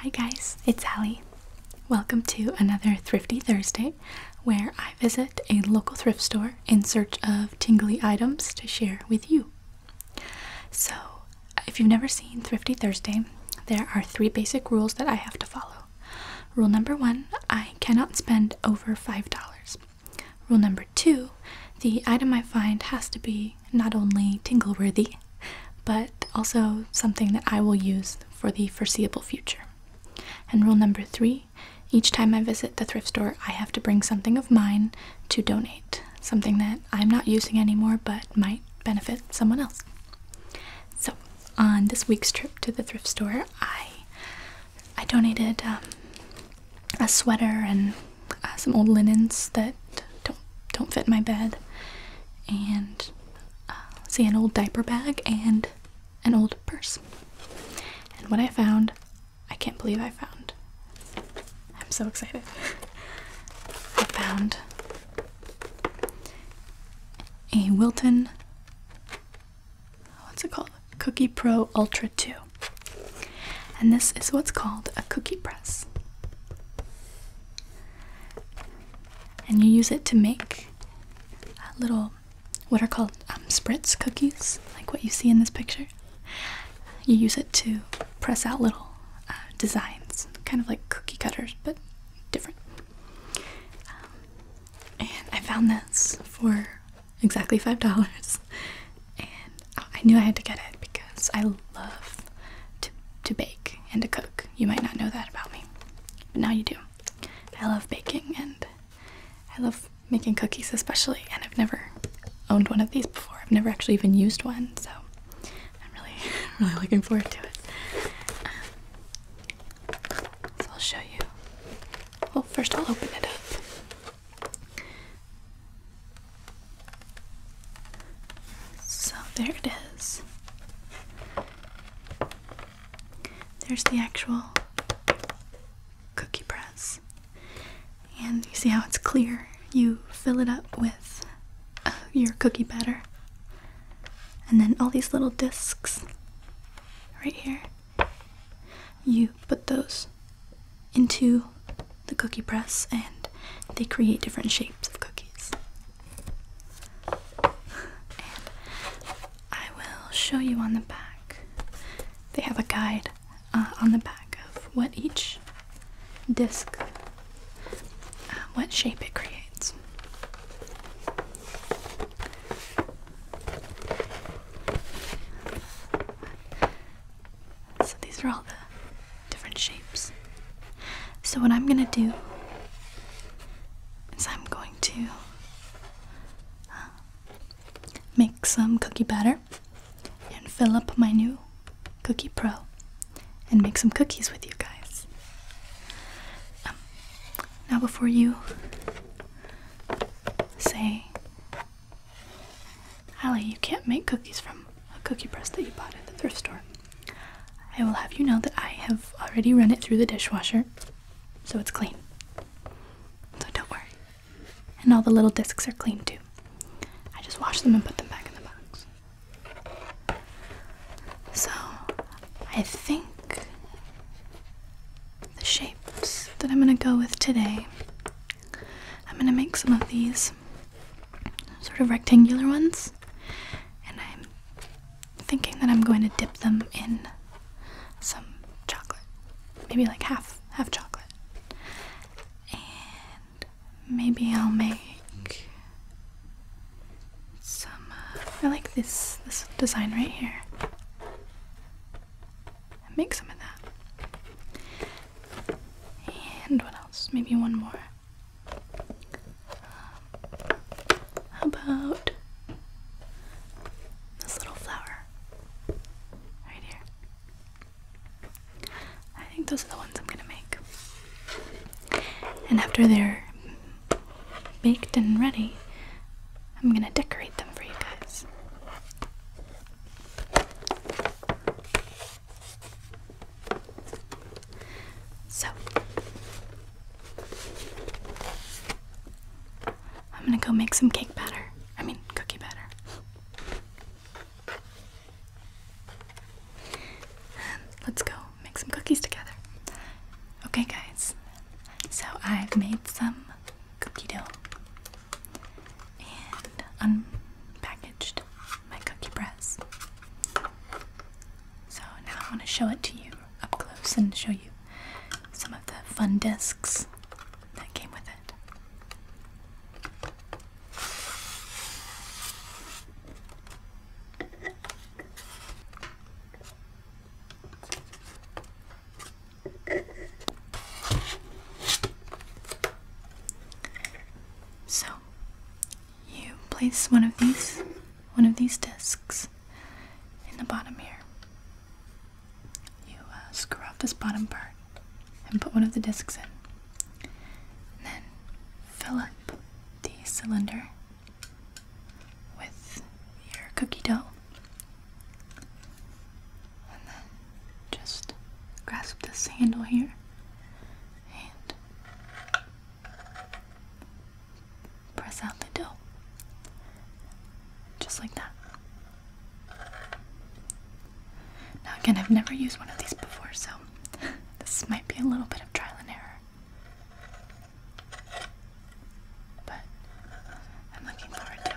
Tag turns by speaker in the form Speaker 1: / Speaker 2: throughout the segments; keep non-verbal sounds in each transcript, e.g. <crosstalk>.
Speaker 1: Hi, guys, it's Allie. Welcome to another Thrifty Thursday where I visit a local thrift store in search of tingly items to share with you. So, if you've never seen Thrifty Thursday, there are three basic rules that I have to follow. Rule number one I cannot spend over $5. Rule number two the item I find has to be not only tingle worthy, but also something that I will use for the foreseeable future. And rule number three each time I visit the thrift store, I have to bring something of mine to donate, something that I'm not using anymore but might benefit someone else. So, on this week's trip to the thrift store, I I donated um, a sweater and uh, some old linens that don't don't fit my bed, and uh, see an old diaper bag and an old purse. And what I found, I can't believe I found. I'm so excited. I found a Wilton what's it called? Cookie Pro Ultra 2. And this is what's called a cookie press. And you use it to make uh, little, what are called um, spritz cookies, like what you see in this picture. You use it to press out little uh, designs, kind of like cookie cutters, but different and I found this for exactly five dollars, and I knew I had to get it because I love to to bake and to cook. You might not know that about me, but now you do. I love baking and I love making cookies especially, and I've never owned one of these before. I've never actually even used one, so I'm really <laughs> really looking forward to it. Um, so I'll show you. Well, first I'll open it up. So there it is. There's the actual cookie press. And you see how it's clear? You fill it up with uh, your cookie batter and then all these little discs right here. You put those into the cookie press and they create different shapes of cookies. I will show you on the back. They have a guide uh, on the back of what each disc, uh, what shape it creates. So these are all the different shapes. So what I'm gonna do is I'm going to uh, make some cookie batter and fill up my new Cookie Pro and make some cookies with you guys. Um, now, before you say, Allie, you can't make cookies from a cookie press that you bought at the thrift store, I will have you know that I have already run it through the dishwasher, so it's clean. So don't worry. And all the little discs are clean too. I just wash them and put them back in the box. So, I think the shapes that I'm going to go with today, I'm going to make some of these sort of rectangular ones, and I'm thinking that I'm going to dip them in some chocolate. Maybe like half, half chocolate. And maybe I'll make some uh, I like this this design right here. And make some of that. And what else? Maybe one more. how about this little flower right here? I think those are the ones I'm gonna make. And after they're baked and ready, I'm gonna decorate them for you guys. So, I'm gonna go make some cake batter. I mean, cookie batter. let's go make some cookies together. Okay, guys, so I've made some cookie dough and unpackaged my cookie press. So now I want to show it to you up close and show you some of the fun discs that came with it. So, you place one of these, one of these discs in the bottom here. You uh, screw off this bottom part and put one of the discs in. And then fill up the cylinder with your cookie dough. And then just grasp this handle here and press out the dough. Just like that. Now, again, I've never used one of these before, so <laughs> this might be a little bit of trial and error. But I'm looking forward to it.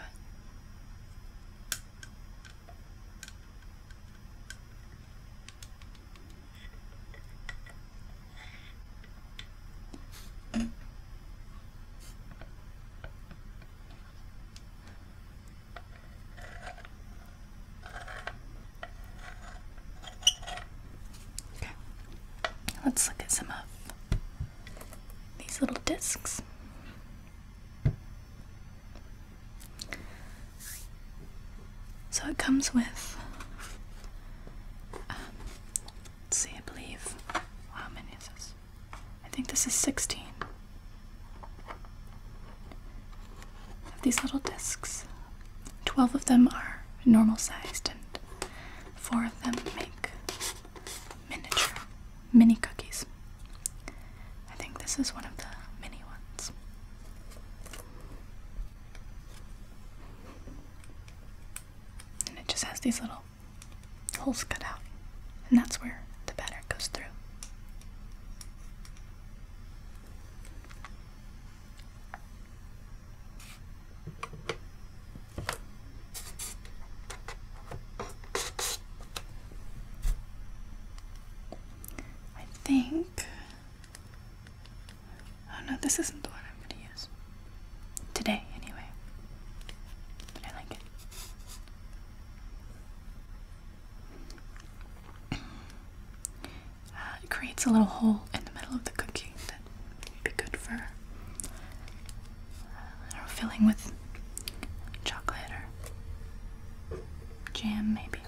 Speaker 1: Okay, let's look at some of these little discs. So it comes with, um, let's see, I believe, how many is this? I think this is 16 of these little discs. 12 of them are normal sized, and four of them make miniature mini cookies. I think this is one of the mini ones. And it just has these little holes cut out, and that's where the batter goes through. I think. Oh no, this isn't the one I'm going to use. Today, anyway. But I like it. <clears throat> Uh, it creates a little hole in the middle of the cookie be good for I don't know, filling with chocolate or jam, maybe.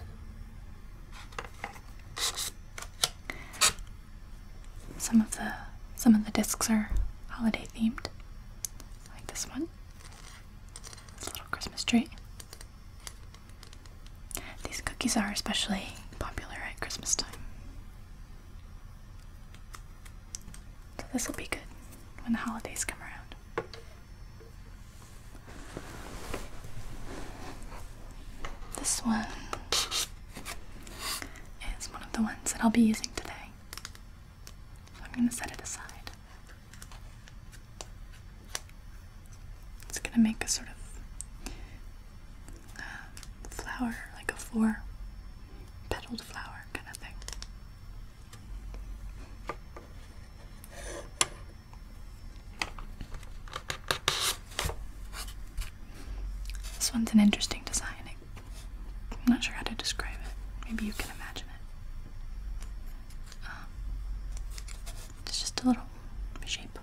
Speaker 1: Some of the some of the discs are holiday themed, like this one. It's a little Christmas tree. These cookies are especially popular at Christmas time. So this will be good when the holidays come around. This one is one of the ones that I'll be using today. I'm going to set it aside. It's going to make a sort of um, flower, like a four petaled flower kind of thing. This one's an interesting design. I'm not sure how to describe it. Maybe you can imagine it. Um, it's just a little shape.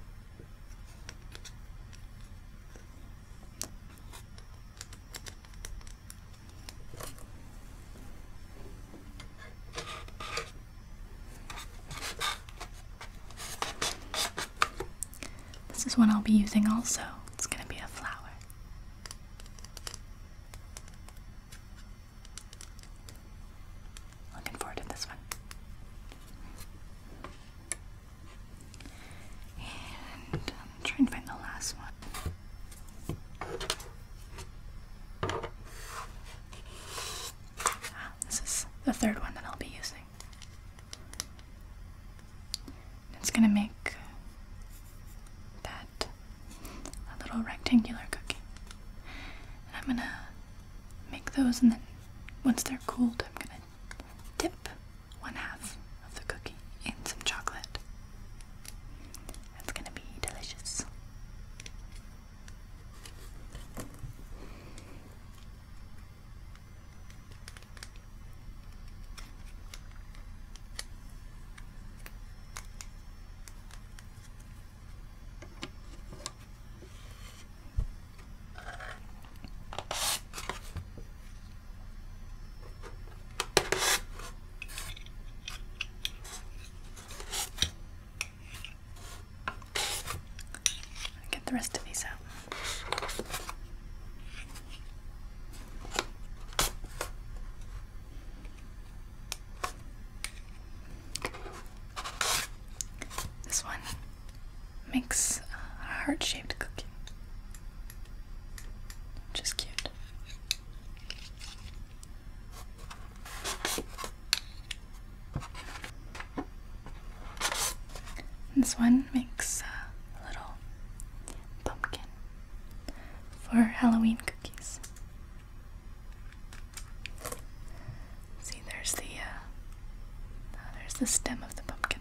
Speaker 1: This is one I'll be using also. It's going to be a flower. Looking forward to this one. And I'm um, trying to find the last one. Ah, this is the third one that I'll be using. It's going to make that a little rectangular cookie. And I'm going to make those and then once they're cooled, I'm going to Dip one half of the cookie in some chocolate. That's gonna be delicious. Get the rest of these out. This one makes a heart shaped cookie. Just is cute. This one makes a little pumpkin for Halloween cookies. See, there's the uh, there's the stem of the pumpkin.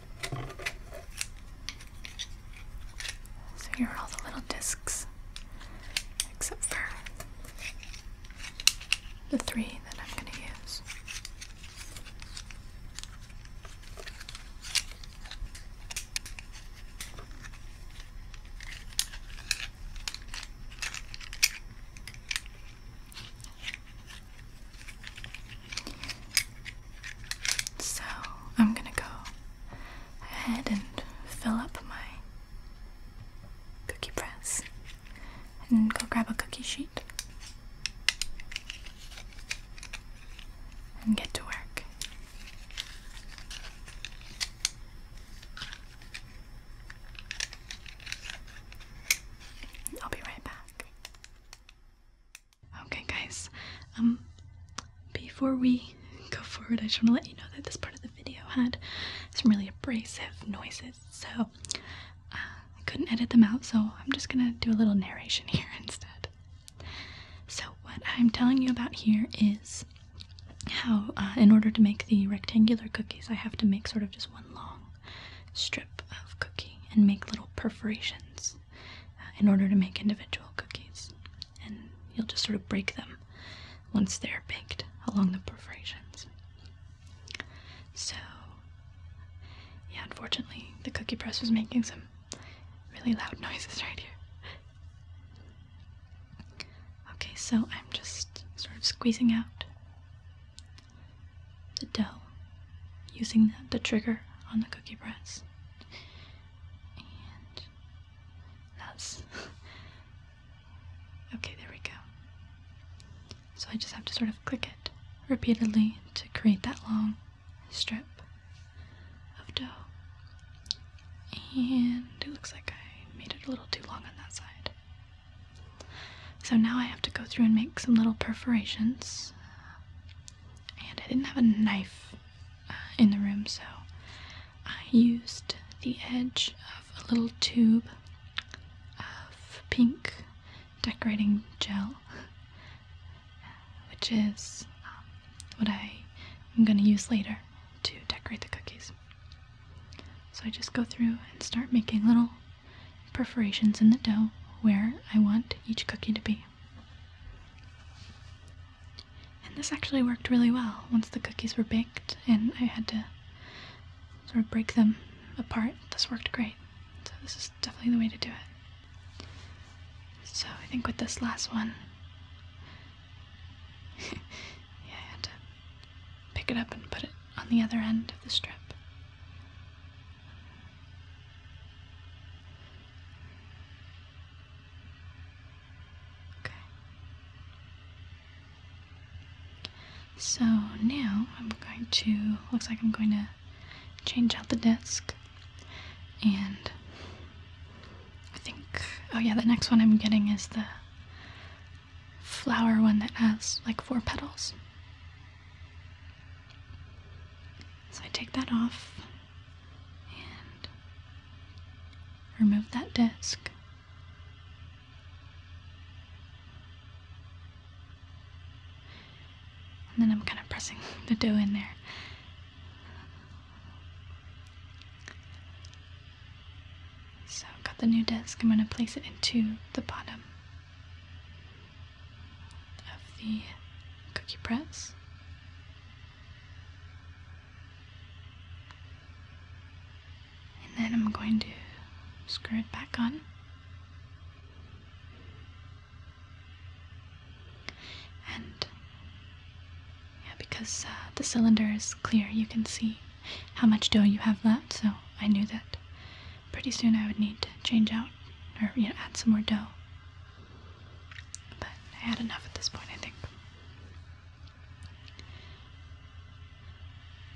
Speaker 1: So here are all the little discs, except for the three that I'm going to use. So I'm gonna go ahead and fill up my cookie press and go grab a cookie sheet and get to work. I'll be right back. Okay, guys. Um, before we go forward, I just want to let you know that this part of the video had some really abrasive noises, so uh, I couldn't edit them out. So I'm just gonna do a little narration <laughs> here instead. So what I'm telling you about here is how, uh, in order to make the rectangular cookies, I have to make sort of just one long strip of cookie and make little perforations uh, in order to make individual cookies. And you'll just sort of break them once they're baked along the perforations. So, yeah, unfortunately, the cookie press was making some really loud <laughs> noises right here. Okay, so I'm just sort of squeezing out the dough, using the, trigger on the cookie press. And that's. <laughs> okay, there we go. So I just have to sort of click it repeatedly to create that long strip of dough. And it looks like I made it a little too long on that side. So now I have to go through and make some little perforations and I didn't have a knife uh, in the room, so I used the edge of a little tube of pink decorating gel, which is um, what I am going to use later to decorate the cookies. So I just go through and start making little perforations in the dough where I want each cookie to be. And this actually worked really well once the cookies were baked and I had to sort of break them apart. This worked great. So this is definitely the way to do it. So I think with this last one, <laughs> yeah, I had to pick it up and put it on the other end of the strip. Okay. So now I'm going to, looks like I'm going to change out the desk. And I think, oh yeah, the next one I'm getting is the flower one that has like four petals. So I take that off and remove that disc. And then I'm kind of pressing <laughs> the dough in there. So I've got the new disc. I'm going to place it into the bottom of the cookie press. And then I'm going to screw it back on. And yeah, because uh, the cylinder is clear, you can see how much dough you have left, so I knew that pretty soon I would need to change out or you know, add some more dough. But I had enough at this point, I think.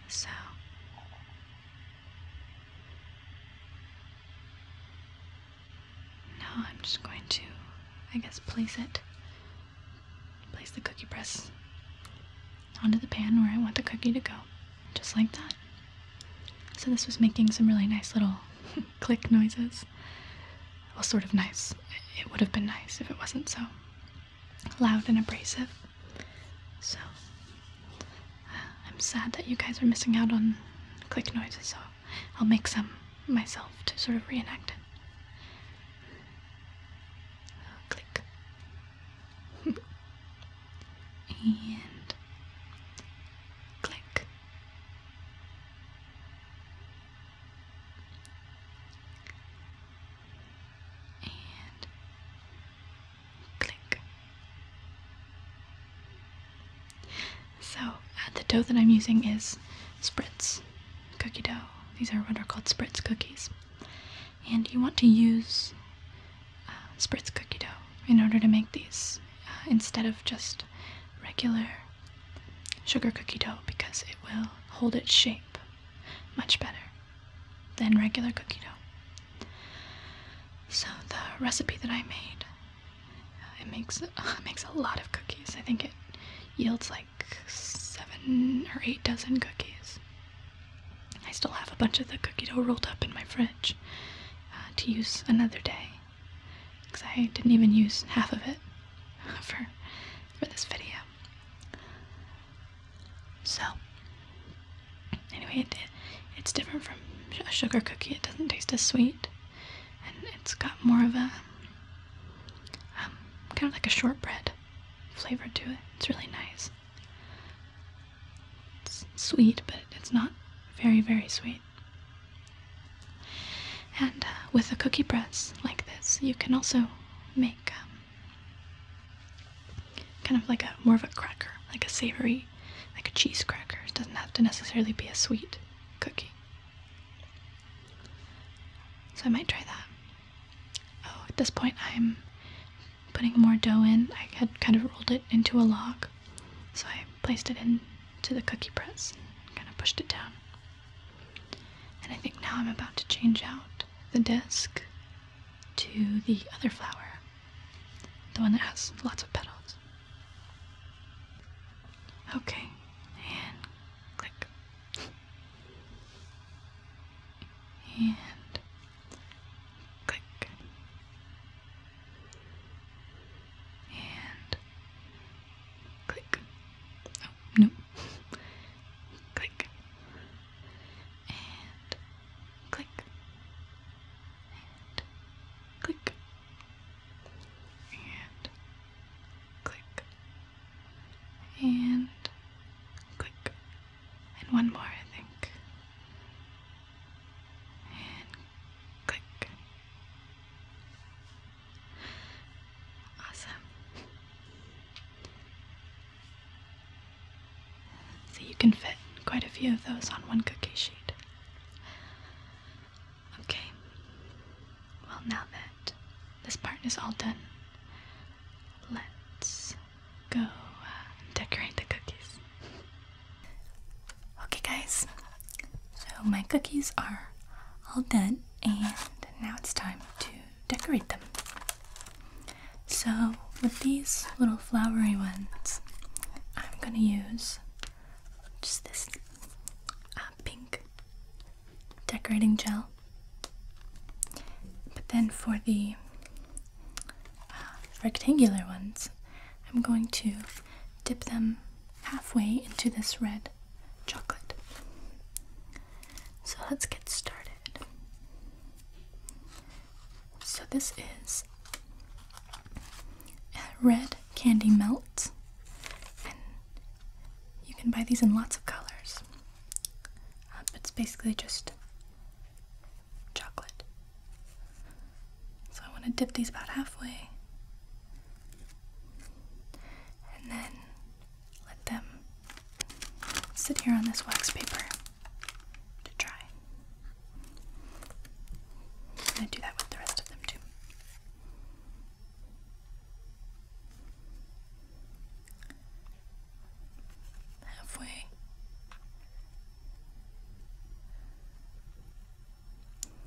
Speaker 1: So. Now I'm just going to, I guess, place it. Place the cookie press onto the pan where I want the cookie to go. Just like that. So this was making some really nice little <laughs> click noises. Well, sort of nice. It would have been nice if it wasn't so loud and abrasive. So uh, I'm sad that you guys are missing out on click noises, so I'll make some myself to sort of reenact it. Oh, click. <laughs> and click. And click. So uh, the dough that I'm using is spritz cookie dough. These are what are called spritz cookies. And you want to use uh, spritz cookie dough in order to make these instead of just regular sugar cookie dough because it will hold its shape much better than regular cookie dough. So the recipe that I made uh, it makes <laughs> makes a lot of cookies. I think it yields like 7 or 8 dozen cookies. I still have a bunch of the cookie dough rolled up in my fridge uh, to use another day because I didn't even use half of it <laughs> for for this video. So anyway, it, it's different from a sugar cookie. It doesn't taste as sweet, and it's got more of a um, kind of like a shortbread flavor to it. It's really nice. It's sweet, but it's not very very sweet. And uh, with a cookie press like this, you can also make um, kind of like a more of a cracker, like a savory, like a cheese cracker. It doesn't have to necessarily be a sweet cookie. So I might try that. Oh, at this point I'm putting more dough in. I had kind of rolled it into a log so I placed it into the cookie press and kind of pushed it down. And I think now I'm about to change out the disc to the other flower, the one that has lots of petals. Okay, and click. and click. And Click. Oh, no. click. And click. And click. And click. And click. And one more, I think. And click. Awesome. So you can fit quite a few of those on one cookie sheet. Okay. Well, now that this part is all done, let's go uh, decorate the cookies. Okay, guys, so my cookies are all done, and now it's time to decorate them. So, with these little flowery ones, I'm gonna use just this uh, pink decorating gel. But then for the uh, rectangular ones, I'm going to dip them halfway into this red chocolate. So let's get started. So, this is red candy melt, and you can buy these in lots of colors. Um, it's basically just chocolate. So, I want to dip these about halfway and then let them sit here on this wax paper to dry. i do that with the rest of them too. Halfway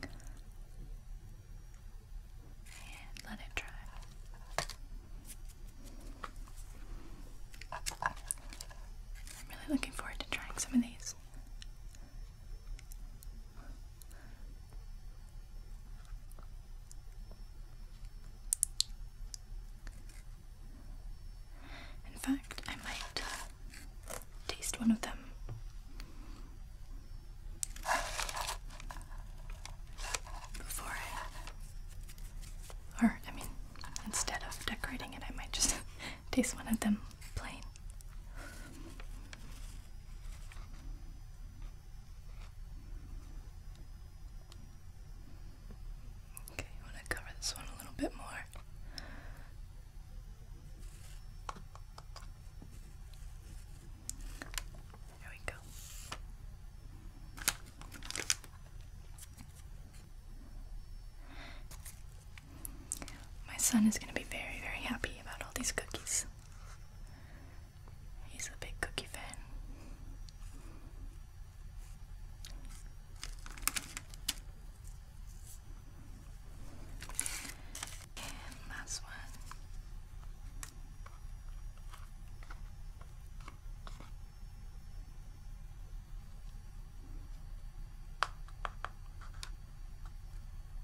Speaker 1: and let it dry. I'm really looking forward to trying some of these. In fact, I might uh, taste one of them for it. Or, I mean, instead of decorating it, I might just <laughs> taste one of them plain. Okay, I want to cover this one a little bit more. There we go. My son is going to be very, very happy about all these cookies. He's a big cookie fan. And last one.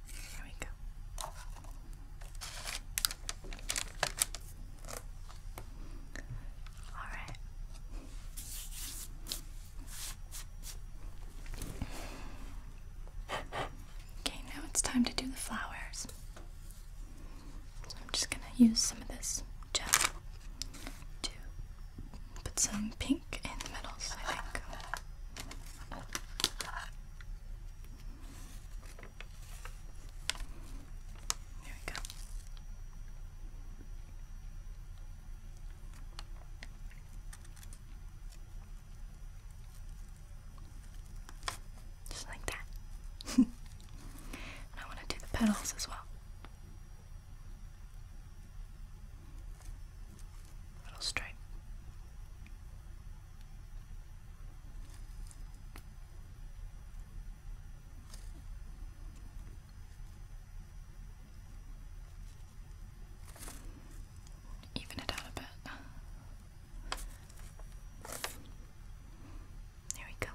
Speaker 1: There we go. All right. Okay, now it's time to do the flowers. So I'm just gonna use some of this gel to put some pink in the middles, I think. There we go. Just like that. <laughs> I want to do the petals as well. Little stripe. Even it out a bit. There we go.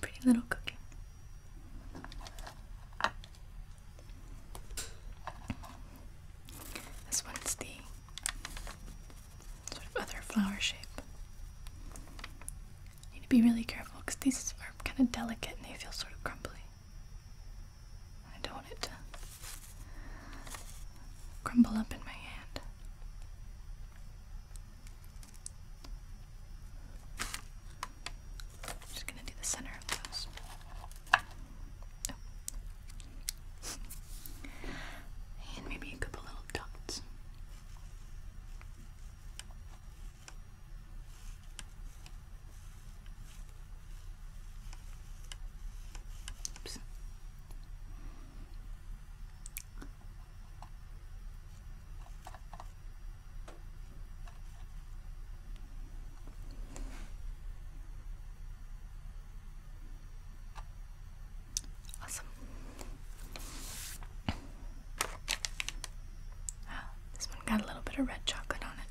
Speaker 1: Pretty little cookie. This one's the sort of other flower shape. You need to be really careful because these are kind of delicate and they feel sort of crumbly. I don't want it to crumble up in my hand. just gonna do the center of those. Oh. and maybe a couple little dots. Awesome. Ah, this one got a little bit of red chocolate on it.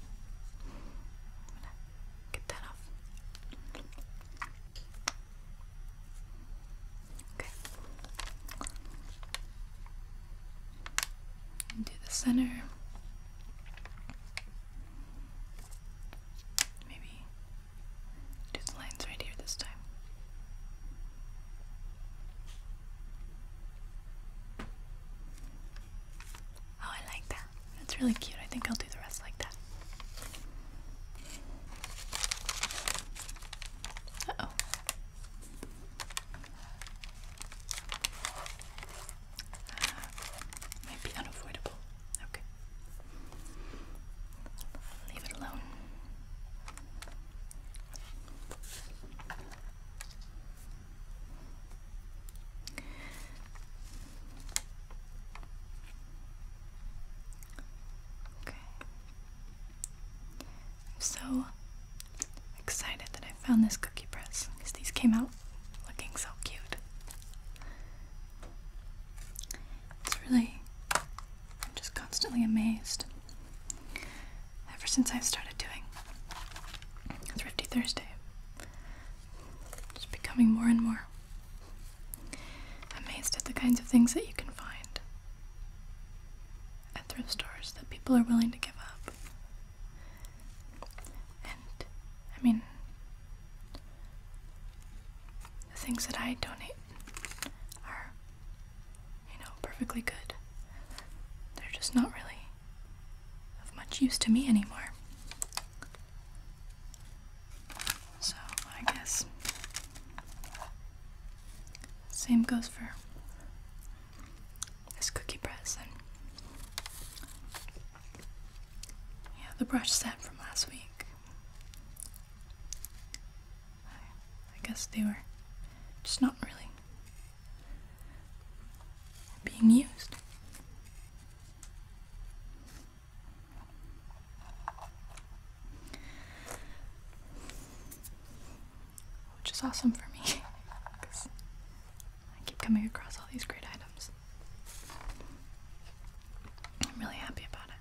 Speaker 1: Get that off. Okay. And the center. Maybe do the lines right here this time. Oh, I like that. That's really cute. I think I'll do the rest like that. oh. Uh, unavoidable. Okay. Leave it alone. I'm so excited that I found this cookie press because these came out looking so cute. It's really, I'm just constantly amazed. Ever since I've started doing Thrifty Thursday, just becoming more and more amazed at the kinds of things that you can find at thrift stores that people are willing to give up. And I mean, the things that I donate are, you know, perfectly good. They're just not really of much use to me anymore. So I guess same goes for this cookie press and yeah, the brush set from last week. I, I guess they were just not really being used. Which is awesome for me because <laughs> I keep coming across all these great items. I'm really happy about it.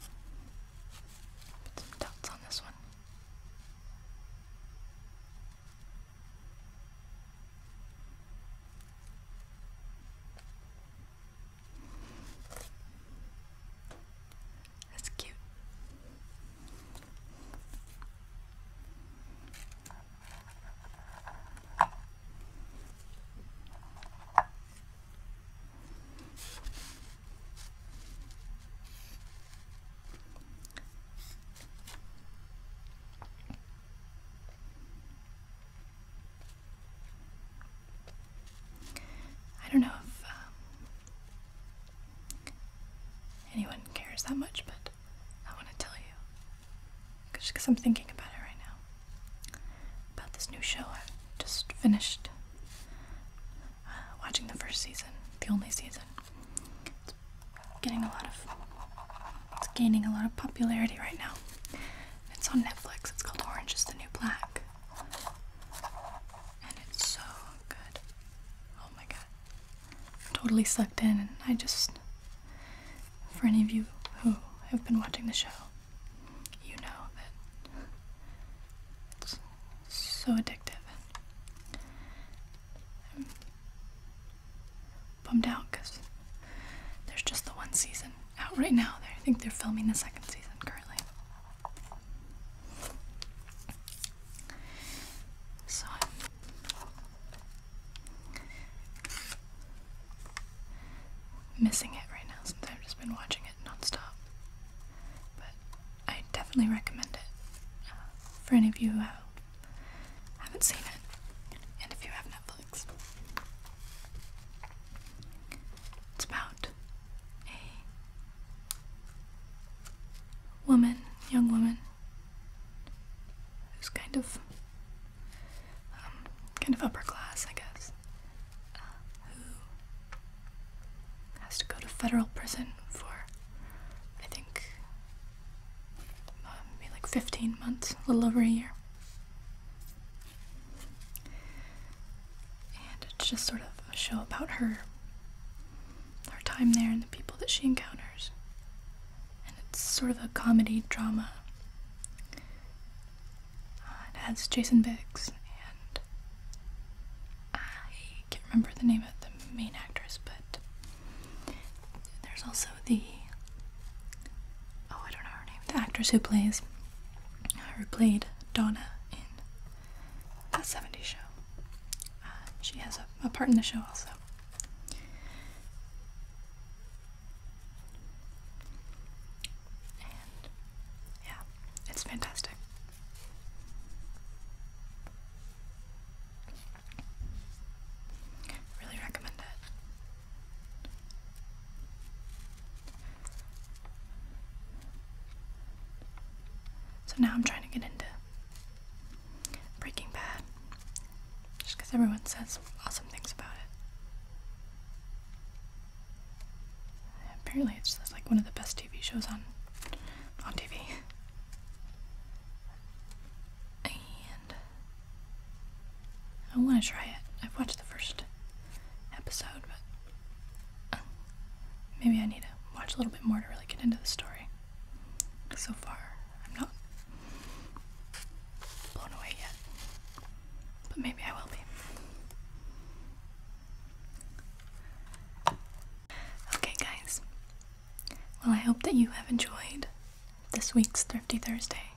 Speaker 1: Put some dots on this one. That's cute. I don't know if um, anyone cares that much, but I want to tell you. Just because I'm thinking about it right now. About this new show I just finished watching the first season, the only season. It's getting a lot of, it's gaining a lot of popularity right now. It's on Netflix. It's called Orange is the New Black. And it's so good. Oh my god. totally sucked in, and I just, for any of you who have been watching the show, you know that so addictive. I'm bummed out because there's just the one season out right now. I think they're filming the second season currently. So I'm missing it right now since I've just been watching it nonstop. But I definitely recommend it uh, for any of you who haven't seen it, and if you have Netflix. It's about a woman, young woman, who's kind of, um, kind of upper class, I guess, who has to go to federal prison for, I think, um, maybe like 15 months, a little over a year. And it's just sort of a show about her, her time there and the people that she encounters. And it's sort of a comedy drama. Uh, it has Jason Biggs and I can't remember the name of the main actress, but there's also the oh, I don't know her name, the actress who plays who played Donna in that 70s show. Uh, she has a, a part in the show also. And yeah, it's fantastic. Really recommend it. So now I'm trying to get into Breaking Bad. Just because everyone says awesome things about it. Apparently, it's like one of the best TV shows on on TV. And I want to try it. I've watched the first episode, but uh, maybe I need to watch a little bit more to really get into the story. So far, I'm not blown away yet, but maybe I will be. Okay, guys. Well, I hope that you have enjoyed this week's Thrifty Thursday.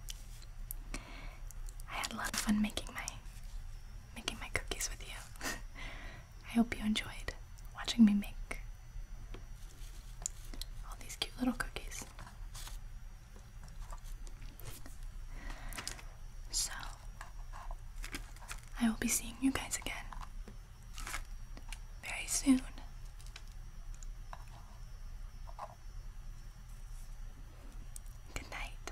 Speaker 1: I had a lot of fun making my making my cookies with you. <laughs> I hope you enjoyed watching me make all these cute little cookies. So, I will be seeing you guys again very soon. Good night.